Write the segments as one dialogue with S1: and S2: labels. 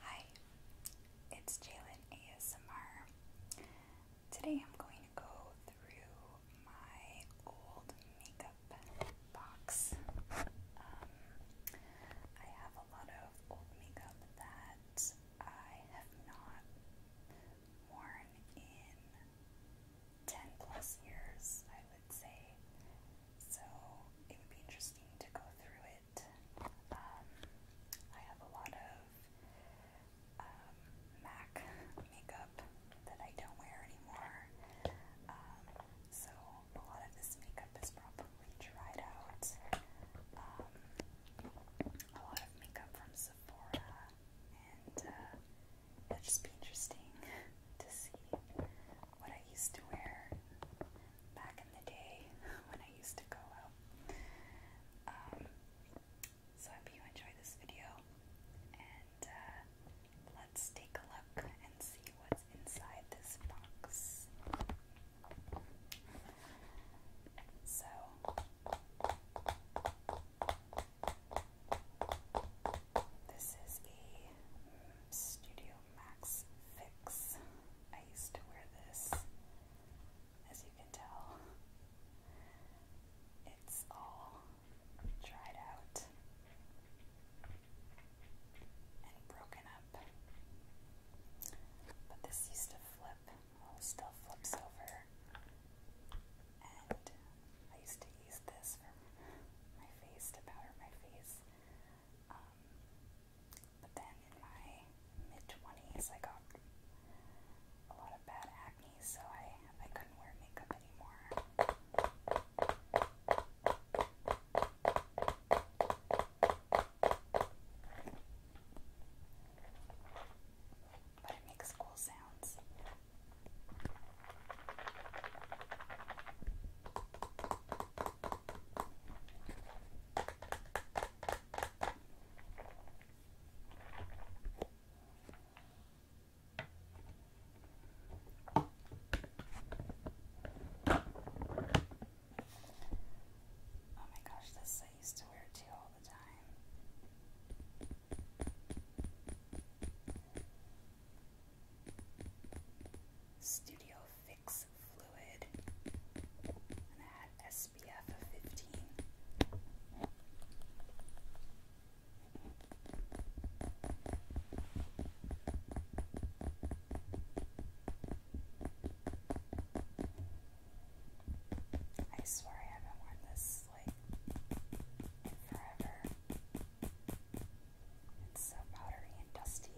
S1: Hi, it's Jalen ASMR. Today I'm going to go through my old makeup box. Um, I have a lot of old makeup that I have not worn in 10 plus years, I would say. So it would be interesting to go through um, I have a lot of um, MAC makeup that I don't wear anymore. Um, so a lot of this makeup is probably dried out. Um, a lot of makeup from Sephora, and uh, it'll just be interesting to see what I used to wear back in the day when I used to go out. Um, so I hope you enjoy this video, and uh, let's take a look and see what's inside this box. So. This is a mm, Studio Max Fix. I used to wear this, as you can tell. It's all dried out and broken up. But this used to flip, well, oh, it still flips over. And I used to use this for my face to powder my face. Um, but then in my mid 20s, I got a lot of bad acne, so I, I couldn't wear makeup anymore. But it makes cool sounds. Oh my gosh, this I used to wear too all the time. Studio Fluid, and SPF of 15. I swear I haven't worn this like forever. It's so powdery and dusty.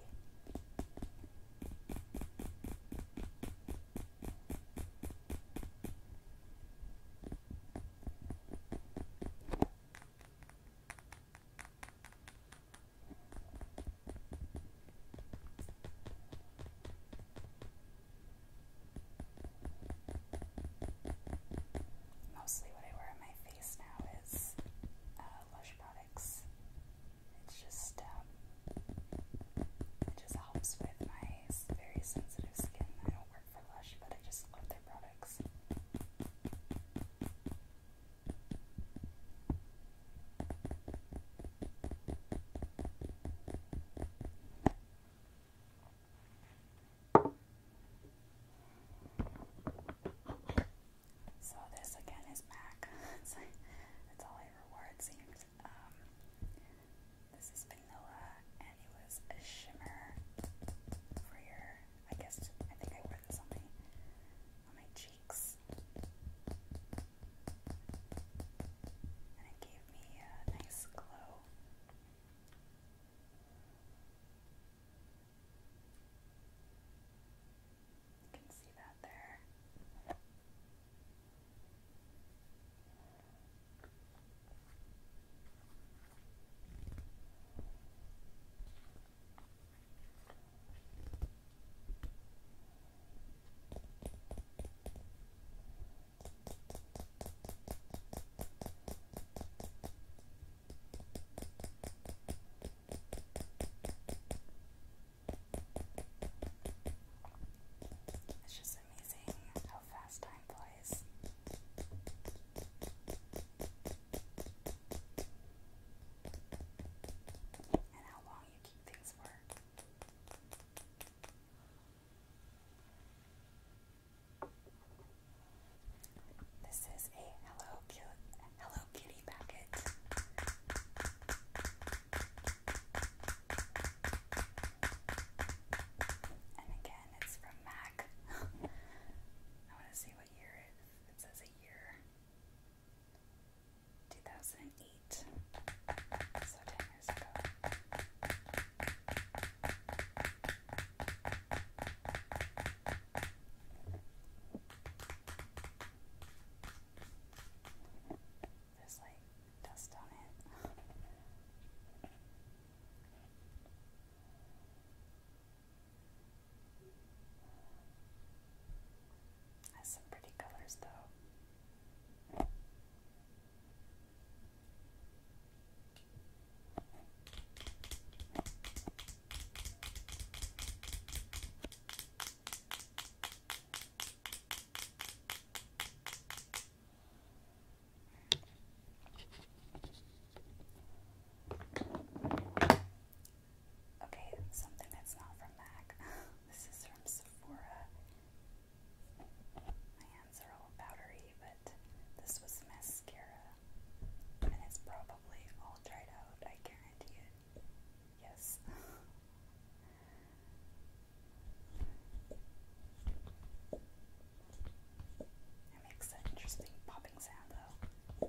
S1: Mostly what I wear on my face now is uh, Lush powder. It's just, um, it just helps with my very sensitive skin. I don't work for Lush, but I just love their products. So this again is MAC. it's, like, it's all I reward seems. Um, this is vanilla, and it was a shimmer for your. I guess I think I wore this on my on my cheeks, and it gave me a nice glow. You can see that there. It's just amazing how fast time flies. And how long you keep things for. This is a Hello, Hello Kitty packet. And again, it's from Mac. I want to see what year It says a year. 2008. So 10 years ago. There's like dust on it. Has some pretty colors though. Okay, something that's not from MAC. this is from Sephora. My hands are all powdery, but this was mascara. And it's probably all dried out, I guarantee it. Yes. It makes an interesting popping sound, though.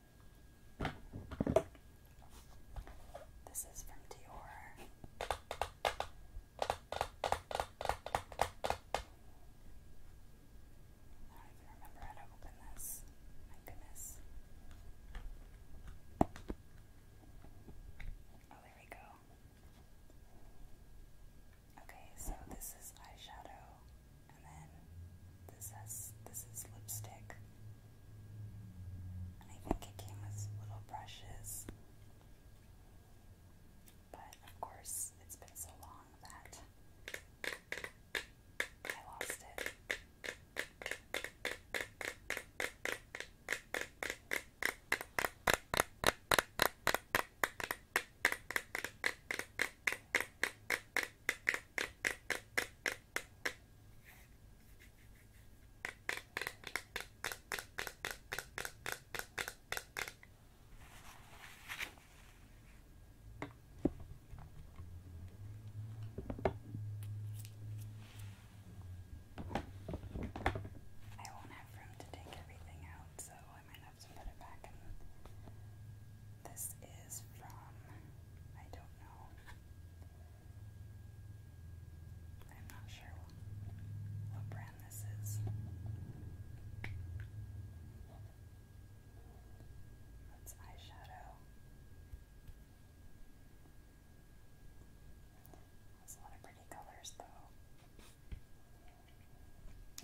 S1: This is from Dior. I don't even remember how to open this. My goodness. Oh, there we go. Okay, so this is eyeshadow. And then this has this is lipstick. And I think it came with little brushes. But of course, it's been so long that I lost it. I won't have room to take everything out, so I might have to put it back in this is from, I don't know. I'm not sure what brand this is. That's eyeshadow. There's a lot of pretty colors though.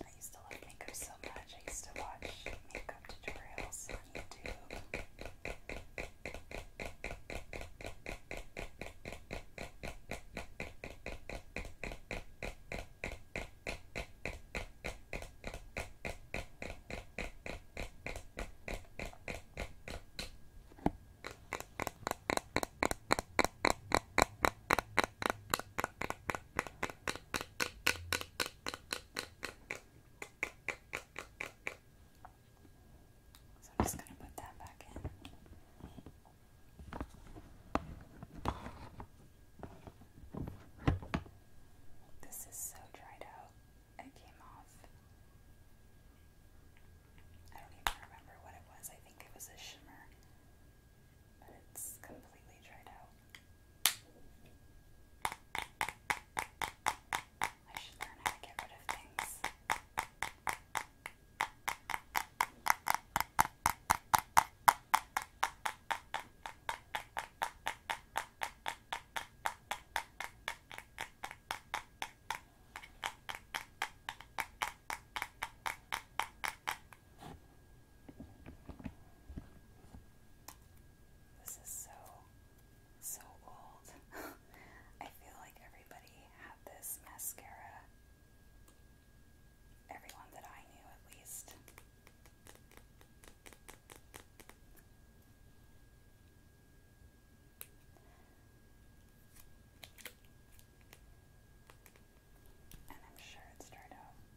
S1: I used to love makeup so much. I used to watch makeup makeup tutorials on YouTube. So I'm just going to put that back in. This is so dried out. It came off. I don't even remember what it was. I think it was a shimmer. But it's completely dried out. I should learn how to get rid of things. This is so, so old. I feel like everybody had this mascara. Everyone that I knew, at least. And I'm sure it started out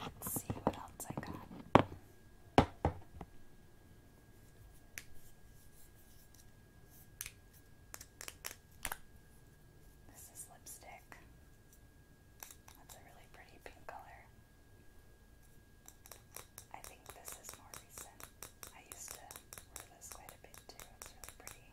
S1: Let's see what else I got. This is lipstick. That's a really pretty pink color. I think this is more recent. I used to wear this quite a bit too. It's really pretty.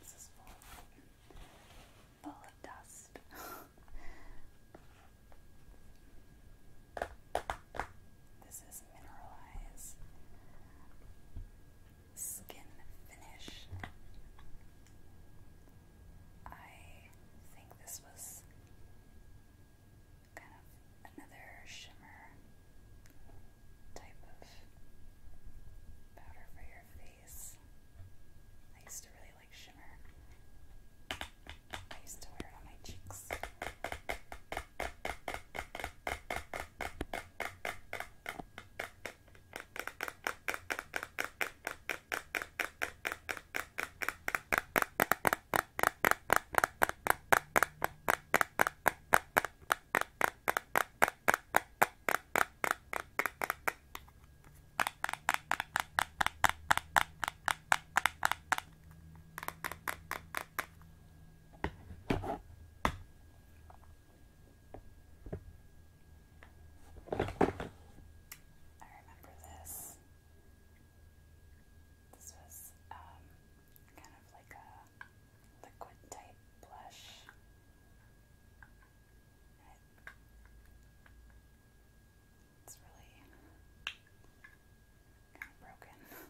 S1: This is full full of dust. this is mineralized skin finish. I think this was kind of another shimmer type of powder for your face. I used to really like shimmer. I used to wear it on my cheeks. I remember this. This was um, kind of like a liquid type blush. It's really kind of broken.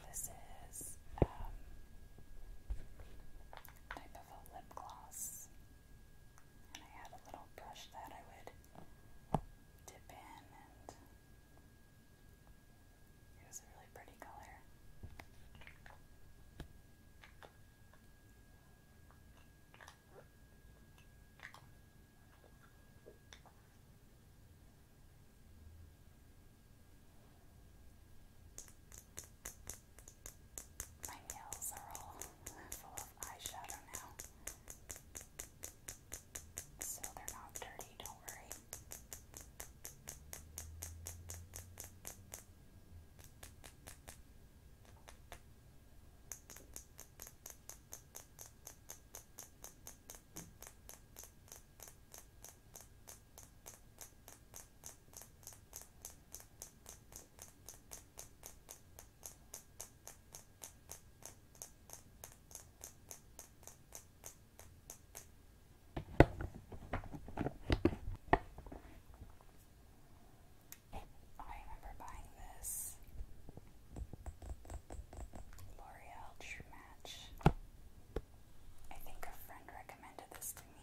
S1: This is um, type of a lip gloss. I had a little brush that I would dip in, and it was a really pretty color. My nails are all full of eyeshadow now. So they're not dirty, don't worry. I remember buying this L'Oreal True Match. I think a friend recommended this to me.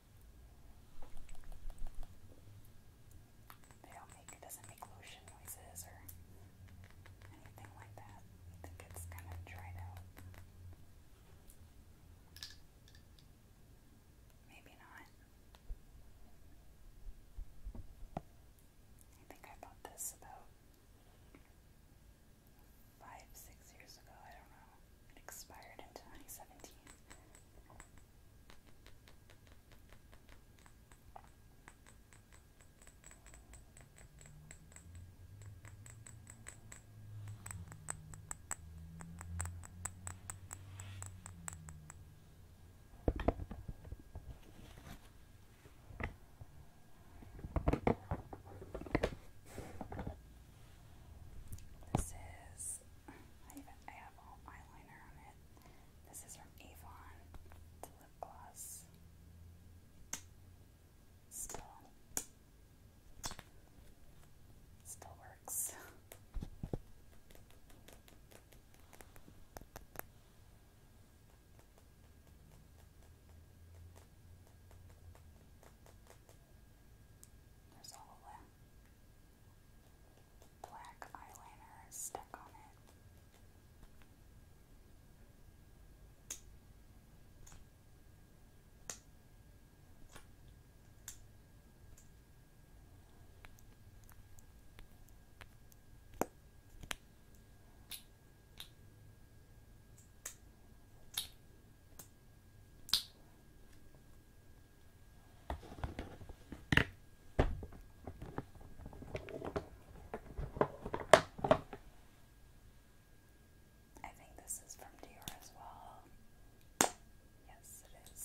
S1: They do it doesn't make lotion noises or anything like that. I think it's kind of dried out. Maybe not. I think I bought this about five, six years ago. I don't know. It expired in 2017. This is, apple eyeliner on it. This is from Avon. It's lip gloss. Still, still works. There's all of black eyeliner stuck on it. I think this is from Dior as well. Yes, it is.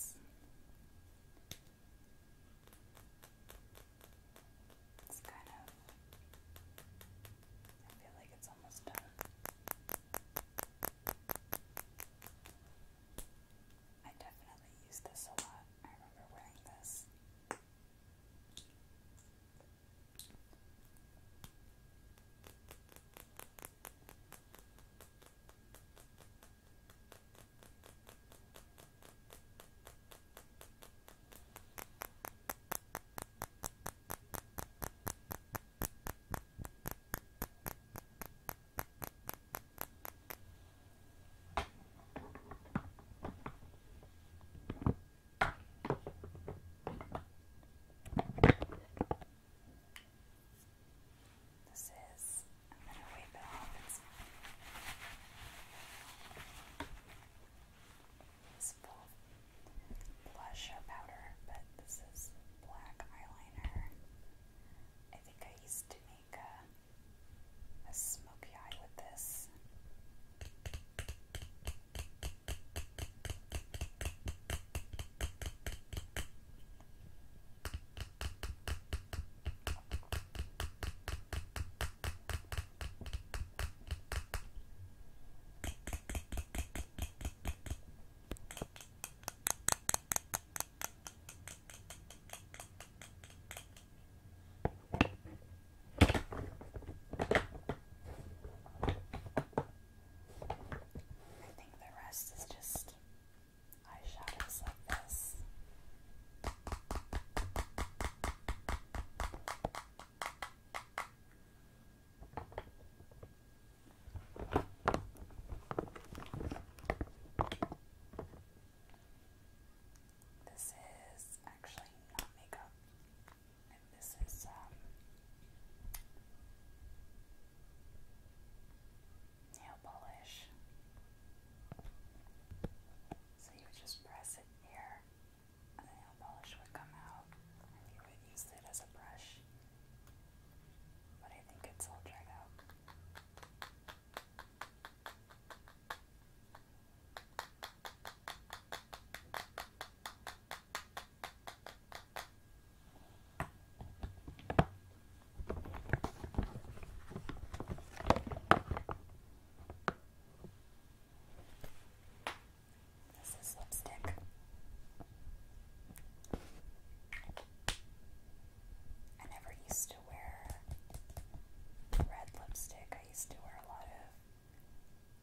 S1: It's kind of. I feel like it's almost done. I definitely use this a lot. I remember wearing this. I this is, I'm going to wipe it off. It's, it's blush or powder, but this is black eyeliner. I think I used to make a, a smoky eye with this. I think the rest is just eyeshadows like this. This is actually not makeup, this is um, nail polish. So you would just press it here, and the nail polish would come out, and you would use it as a brush. But I think it's all dried out. This is lipstick. I never used to wear red lipstick. I used to wear a lot of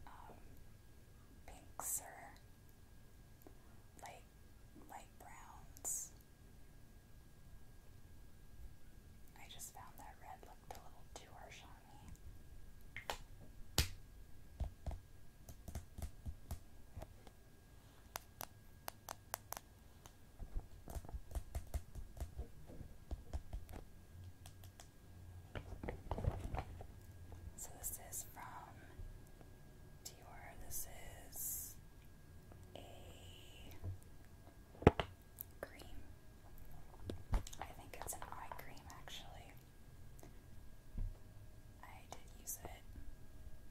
S1: um, pinks or light, light browns. I just found that red looked a little too harsh on me. So this is from Dior. This is a cream. I think it's an eye cream actually. I did use it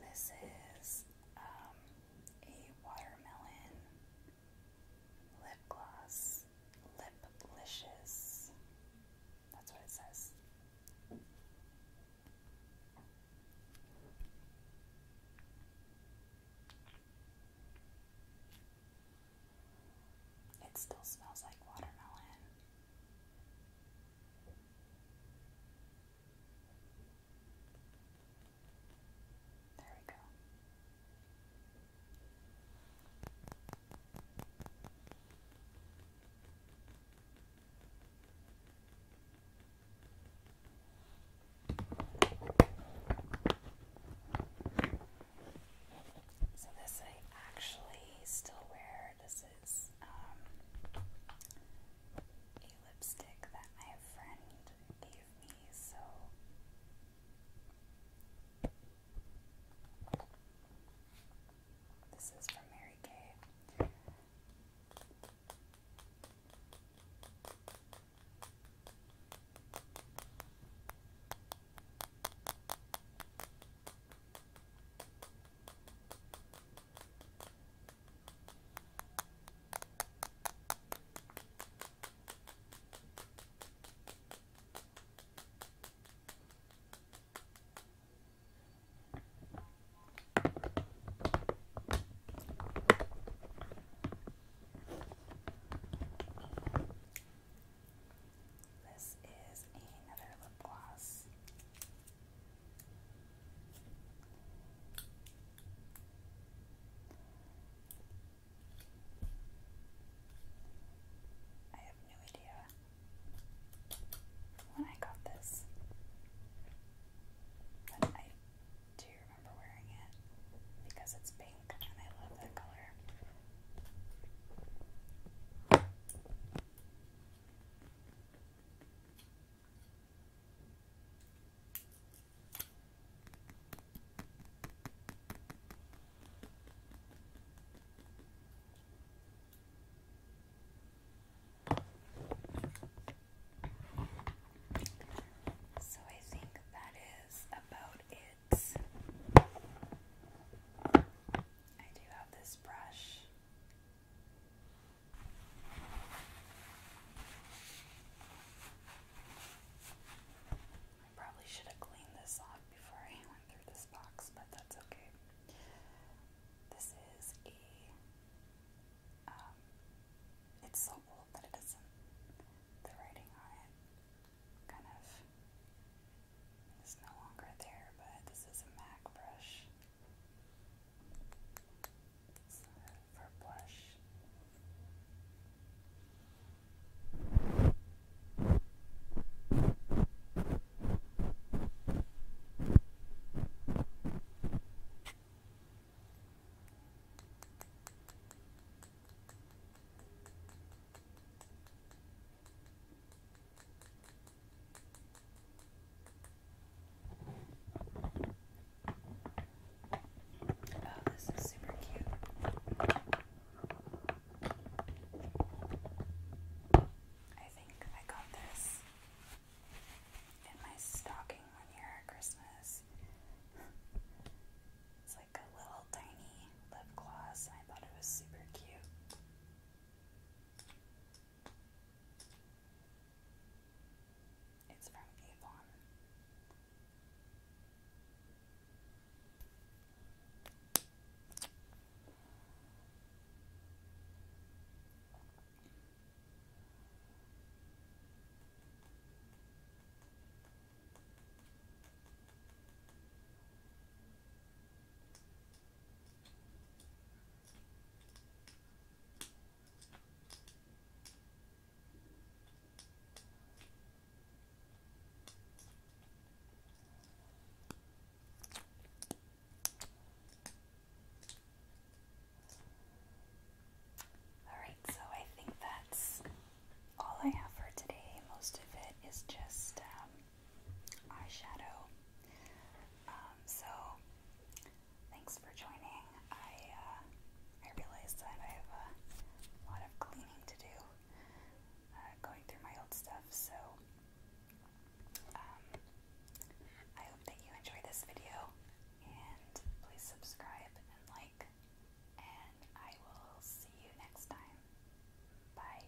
S1: This is um, a watermelon lip gloss, lip licious. That's what it says. It still smells like watermelon. There we go. So this I actually still wear. This is um, a lipstick that my friend gave me, so this is from Mary Kay. This is another lip gloss. I have no idea when I got this, but I do remember wearing it because it's pink and I love that color. So I think that is about it. I do have this brush. I probably should have cleaned this off before I went through this box, but that's okay. This is a. Um, it's so old that it doesn't. The writing on it kind of is no longer there, but this is a MAC brush for blush. All Oh, this is super cute. I think I got this in my stocking one year at Christmas. It's like a little tiny lip gloss, I thought it was super cute. It's from Avon. All right, so I think that's all I have for today. Most of it is just um, eyeshadow. Um, so Thanks for joining. I uh, I realize that I have a lot of cleaning to do, uh, going through my old stuff. So um, I hope that you enjoy this video, and please subscribe and like. And I will see you next time. Bye.